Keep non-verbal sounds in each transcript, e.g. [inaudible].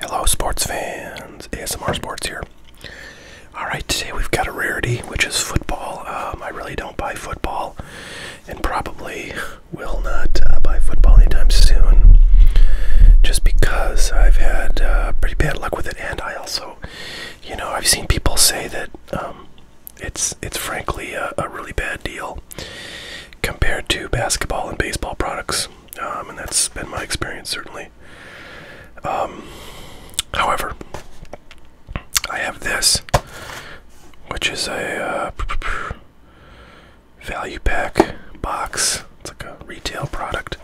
Hello, sports fans. ASMR Sports here. Alright, today we've got a rarity, which is football. Um, I really don't buy football and probably will not uh, buy football anytime soon just because I've had uh, pretty bad luck with it. And I also, you know, I've seen people say that um, it's, it's frankly a really bad deal compared to basketball and baseball products. Um, and that's been my experience certainly. Um, however, I have this, which is a uh, value pack box. It's like a retail product,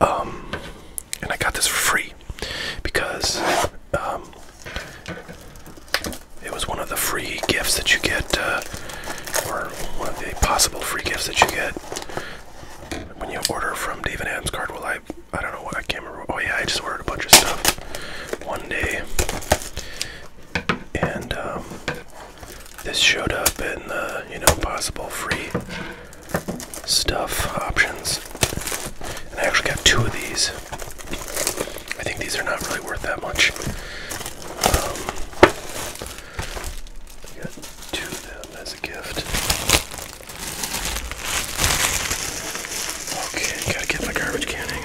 um, and I got this for free because it was one of the free gifts that you get, uh, or one of the possible free gifts that you get when you order from David Adams Card. Well, I, I don't know what I can't remember. Oh yeah, I just ordered a bunch of stuff one day, and um, this showed up in the you know possible free stuff options, and I actually got two of these. I think these are not really worth that much. Um, I got two of them as a gift. Okay, gotta get my garbage can, hang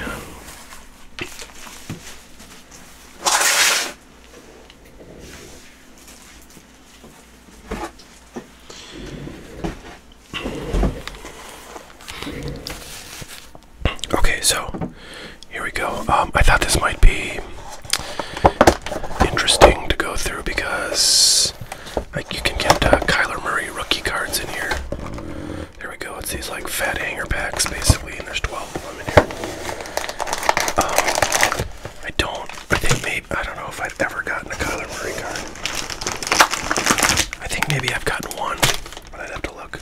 Okay, so here we go. Um, I thought this might be interesting to go through because like you can get uh, Kyler Murray rookie cards in here. There we go. It's these like fat hanger packs basically, and there's 12 of them in here. Um, I don't. I think maybe I don't know if I've ever gotten a Kyler Murray card. I think maybe I've gotten one, but I'd have to look.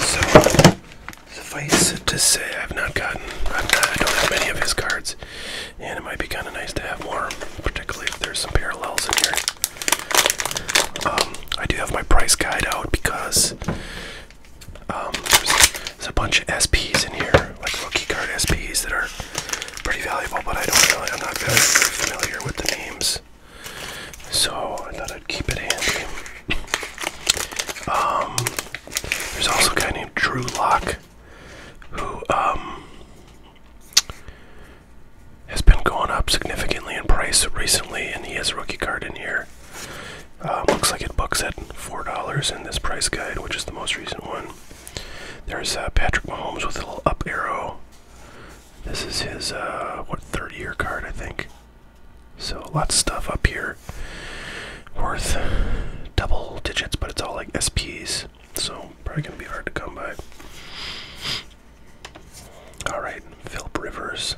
So Suffice it to say, I've not gotten, I've not, I don't have many of his cards, and it might be kind of nice to have more, particularly if there's some parallels in here. Um, I do have my price guide out because um, there's, a bunch of SPs in here, like rookie card SPs that are pretty valuable, but I don't really, I'm not very familiar with the names. So I thought keep it handy. Um, there's also a guy named Drew Locke who um, has been going up significantly in price recently, and he has a rookie card in here. Um, looks like it books at $4 in this price guide, which is the most recent one. There's uh, Patrick Mahomes with a little up arrow. This is his, uh, what, third year card, I think. So lots of stuff up here worth double digits, but it's all like SPs, so probably gonna be hard to come by. Alright, Philip Rivers.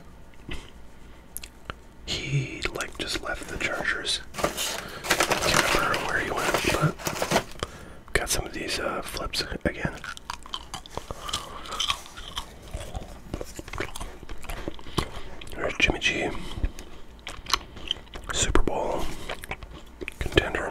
He like just left the Chargers. Can't remember where he went, but got some of these uh, flips again. There's Jimmy G, Super Bowl contender.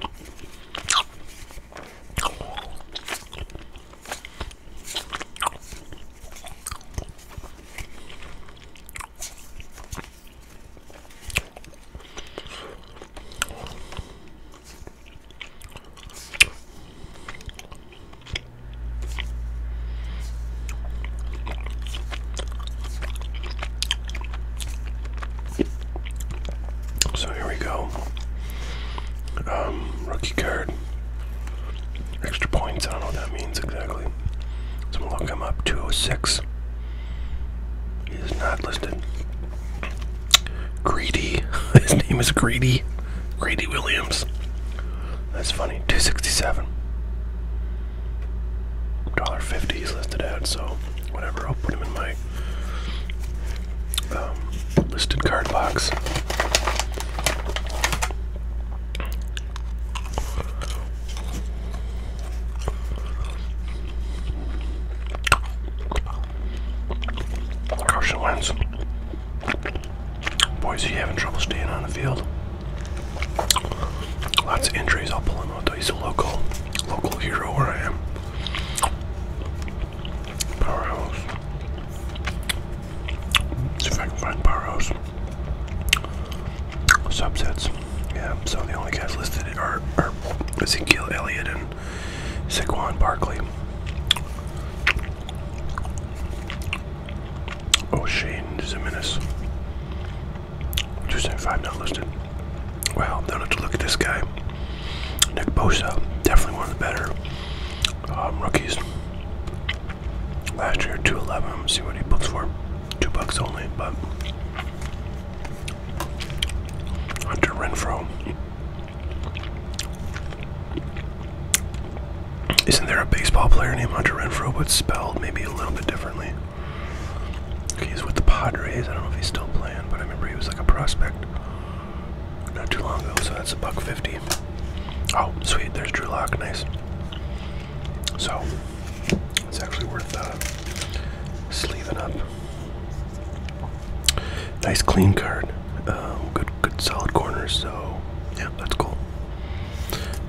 So here we go. Um, rookie card. Extra points. I don't know what that means exactly. So I'm gonna look him up. 206. He is not listed. Greedy. [laughs] His name is Greedy. Greedy Williams. That's funny. 267. $1.50 he's listed at, so whatever. I'll put him in my um, listed card box. Carson wins. Boys, Boise having trouble staying on the field. Lots of injuries. I'll pull him out though. He's a local, local hero where I am. Powerhouse. See if I can Subsets. Yeah, so the only guys listed are, are Ezekiel Elliott and Saquon Barkley. Oh, Shane is a menace. Tuesday five not listed. Wow, don't have to look at this guy. Nick Bosa, definitely one of the better um, rookies. Last year, two eleven. See what he books for. Two bucks only, but Hunter Renfro. Isn't there a baseball player named Hunter Renfro, but spelled maybe a little bit differently? he's with the Padres. I don't know if he's still playing, but I remember he was like a prospect not too long ago, so that's a buck fifty. Oh, sweet, there's Drew Lock, nice. So it's actually worth uh, sleeving up. Nice clean card. Um, good good, solid corners. So yeah, that's cool.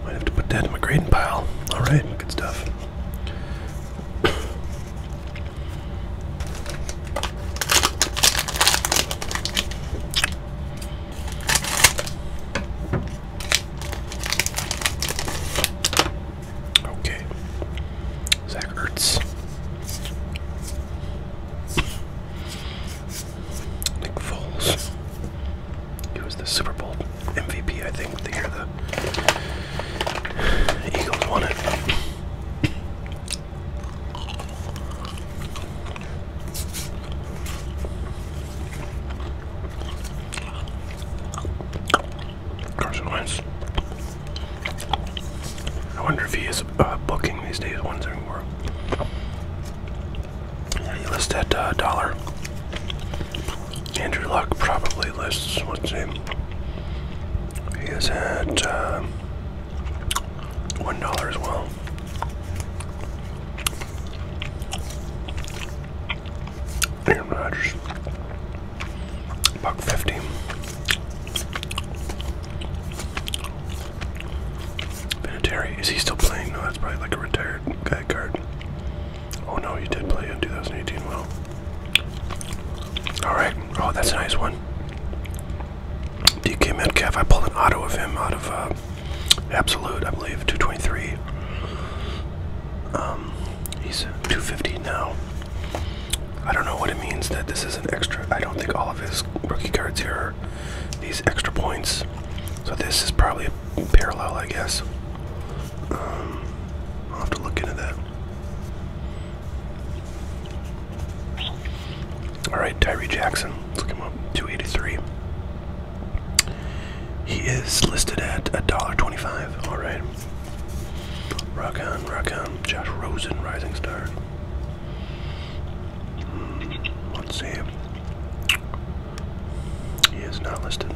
Might have to put that in my grading pile. All right, good stuff. Okay, Zach Ertz. Nick Foles. He was the Super Bowl MVP, I think, the year the Eagles won it. Carson Wentz. I wonder if he is uh, booking these days. Wondering where yeah, you list that uh, dollar. Andrew Luck probably lists what's his name. He is at uh, one dollar as well. Aaron Rodgers, buck fifty. Vinatieri, is he still playing? No, that's probably like a retired guy card. Oh no, he did play in 2018. Well, all right. Oh, that's a nice one. DK Metcalf. I pulled an auto of him out of uh, Absolute, I believe, 223. Um, he's 250 now. I don't know what it means that this is an extra. I don't think all of his rookie cards here are these extra points. So this is probably a parallel, I guess. Um, I'll have to look into that. All right, Tyree Jackson. Let's look up. 283. He is listed at a dollar twenty-five. All right. Rock on, rock on. Josh Rosen, Rising Star. Hmm, let's see. him. He is not listed.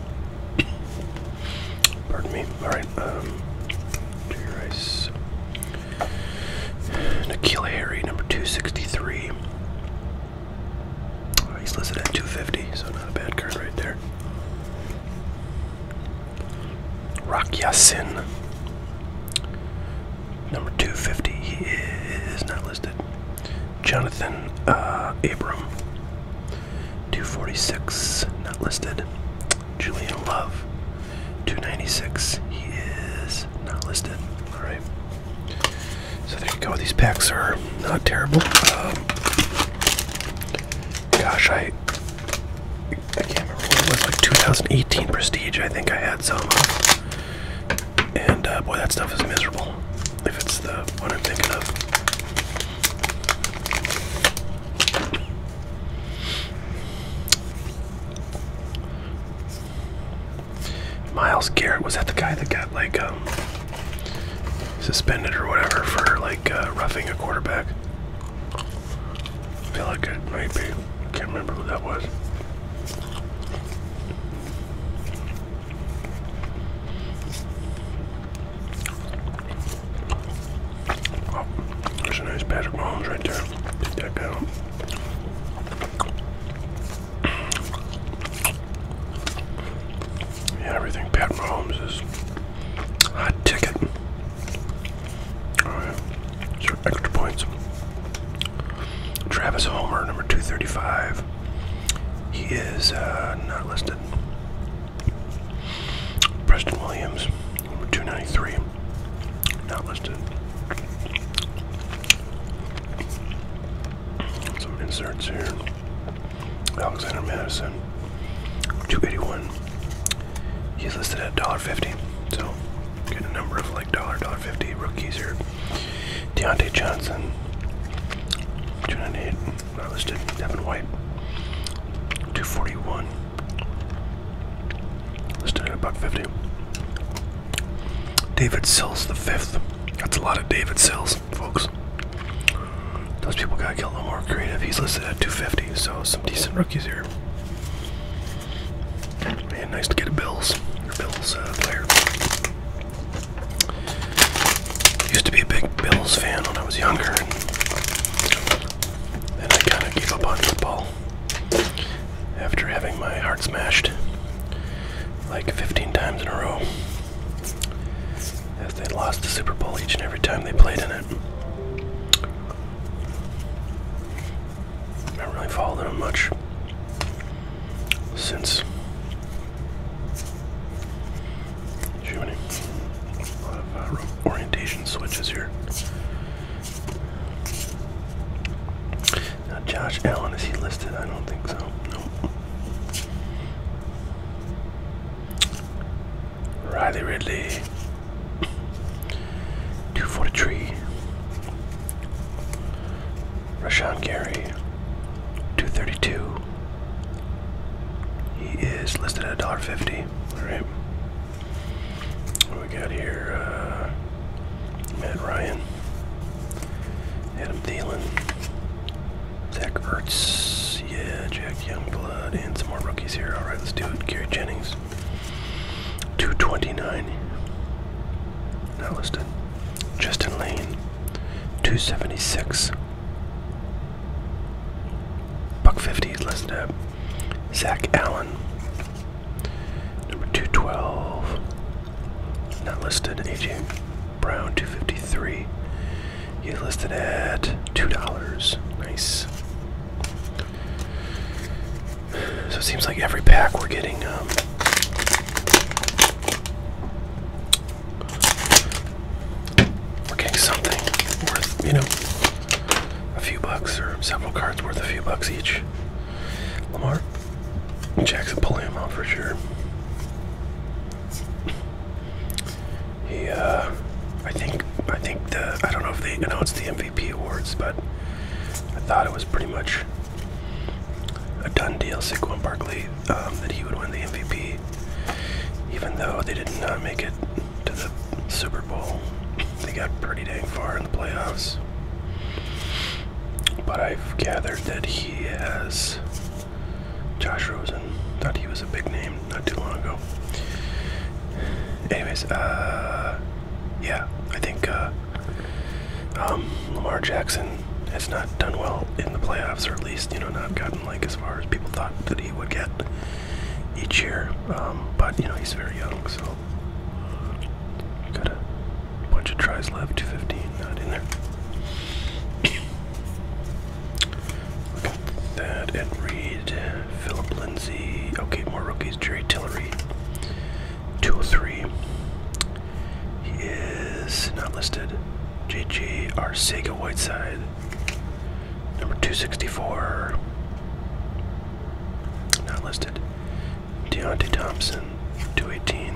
Pardon me. Alright, um, Jerry Nikhil Harry, number 263. Oh, uh, he's listed at 250, so not a bad card right there. Rakya Sin, number 250. He is not listed. Jonathan uh, Abram, 246, not listed. Julian Love, 296, he is not listed. All right. So there you go. These packs are not terrible. Um, gosh, I I can't remember what it was like 2018 Prestige. I think I had some. And uh, boy, that stuff is miserable if it's the one I'm thinking of. Miles Garrett was that the guy that got like um, suspended or whatever for like uh, roughing a quarterback. I feel like it might be. can't remember who that was. Oh, there's a nice Patrick Mahomes right there. Take that guy Yeah, everything Pat Mahomes is hot ticket. Oh, Alright, extra points. Travis Homer, number 235. He is uh, not listed. Preston Williams, number 293. Not listed. Some inserts here. Alexander Madison, 281. He's listed at $1.50. So, get a number of like $1, $1.50 rookies here. Deontay Johnson, 298, not listed. Devin White, 241, listed at about 50. David Sills the fifth. That's a lot of David Sills, folks. Those people gotta get a little more creative. He's listed at 250, so some decent rookies here. Man, nice to get a Bills. Your Bills uh, player. Used to be a big Bills fan when I was younger, and then I kind of gave up on football after having my heart smashed like 15 times in a row as they lost the Super Bowl each and every time they played in it. I haven't really followed them much since Shooting. A lot of orientation switches here. Now, Josh Allen, is he listed? I don't think so. Nope. Riley Ridley. 243. Rushon Gary, 232. He is listed at $1.50. Alright. What we got here? Uh, Matt Ryan, Adam Thielen, Zach Ertz, yeah, Jack Youngblood, and some more rookies here. Alright, let's do it. Gary Jennings, 229. Not listed. Justin Lane, 276. Buck 50 is listed up. Zach Allen, number 212. Not listed. AJ Brown, 253. He's listed at $2. Nice. So it seems like every pack we're getting um, we're getting something worth, you know, a few bucks or several cards worth a few bucks each. Lamar Jackson pulling him out for sure. He, uh, I think, I think the, I don't know if they announced the MVP awards, but I thought it was pretty much a done deal. Saquon Barkley um, that he would win the MVP, even though they did not make it to the Super Bowl. They got pretty dang far in the playoffs. But I've gathered that he has Josh Rosen. Thought he was a big name not too long ago. Anyways, uh, yeah, I think uh, um, Lamar Jackson has not done well in the playoffs, or at least, you know, not gotten like as far as people thought that he would get each year. Um, but, you know, he's very young, so. Got a bunch of tries left, 215, not in there. Look that, Ed Reed, Philip Lindsay, okay, more rookies, Jerry Tillery, 203. He is not listed. R. Arcega Whiteside. Number 264. Not listed. Deontay Thompson, 218.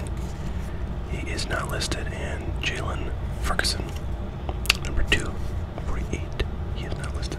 He is not listed. And Jalen Ferguson, number 248. He is not listed.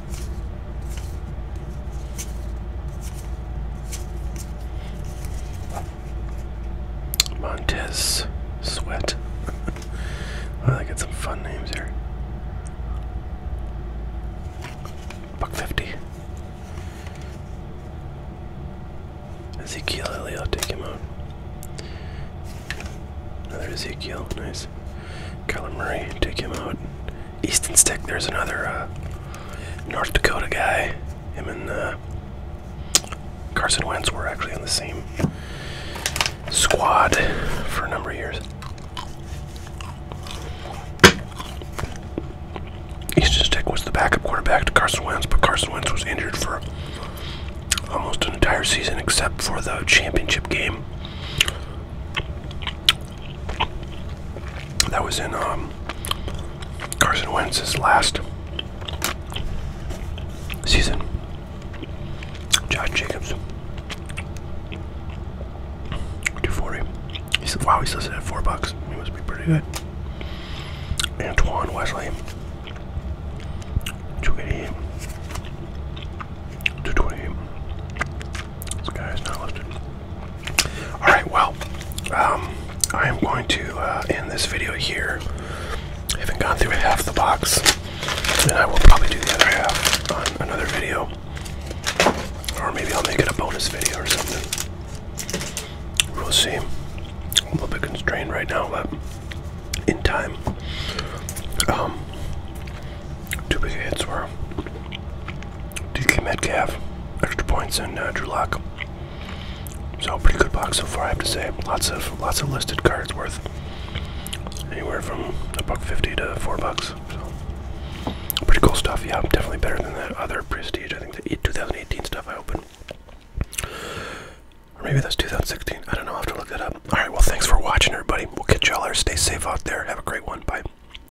Montez Sweat. [laughs] I they got some fun names here. Buck fifty. Ezekiel I'll take him out. Another Ezekiel, nice. Kyler Murray, take him out. Easton Stick. There's another uh, North Dakota guy. Him and uh, Carson Wentz were actually on the same squad for a number of years. Easton Stick was the backup quarterback to Carson Wentz, but Carson Wentz was injured for almost an entire season except for the championship game that was in um, Carson Wentz's last season. Josh Jacobs. 240. He said, wow, he's listed at four bucks. He must be pretty good. Antoine Wesley. 288. Alright, well, um, I am going to uh, end this video here. I haven't gone through half the box, and I will probably do the other half on another video. Or maybe I'll make it a bonus video or something. We'll see. a little bit constrained right now, but in time. Um, too two big hits were DK Metcalf, extra points, and uh, Drew Lock. So pretty good box so far, I have to say. Lots of lots of listed cards worth anywhere from a buck fifty to four bucks. So pretty cool stuff. Yeah, definitely better than that other prestige. I think the 2018 stuff I opened. Or maybe that's 2016. I don't know. i have to look that up. All right. Well, thanks for watching, everybody. We'll catch y'all later. Stay safe out there. Have a great one. Bye.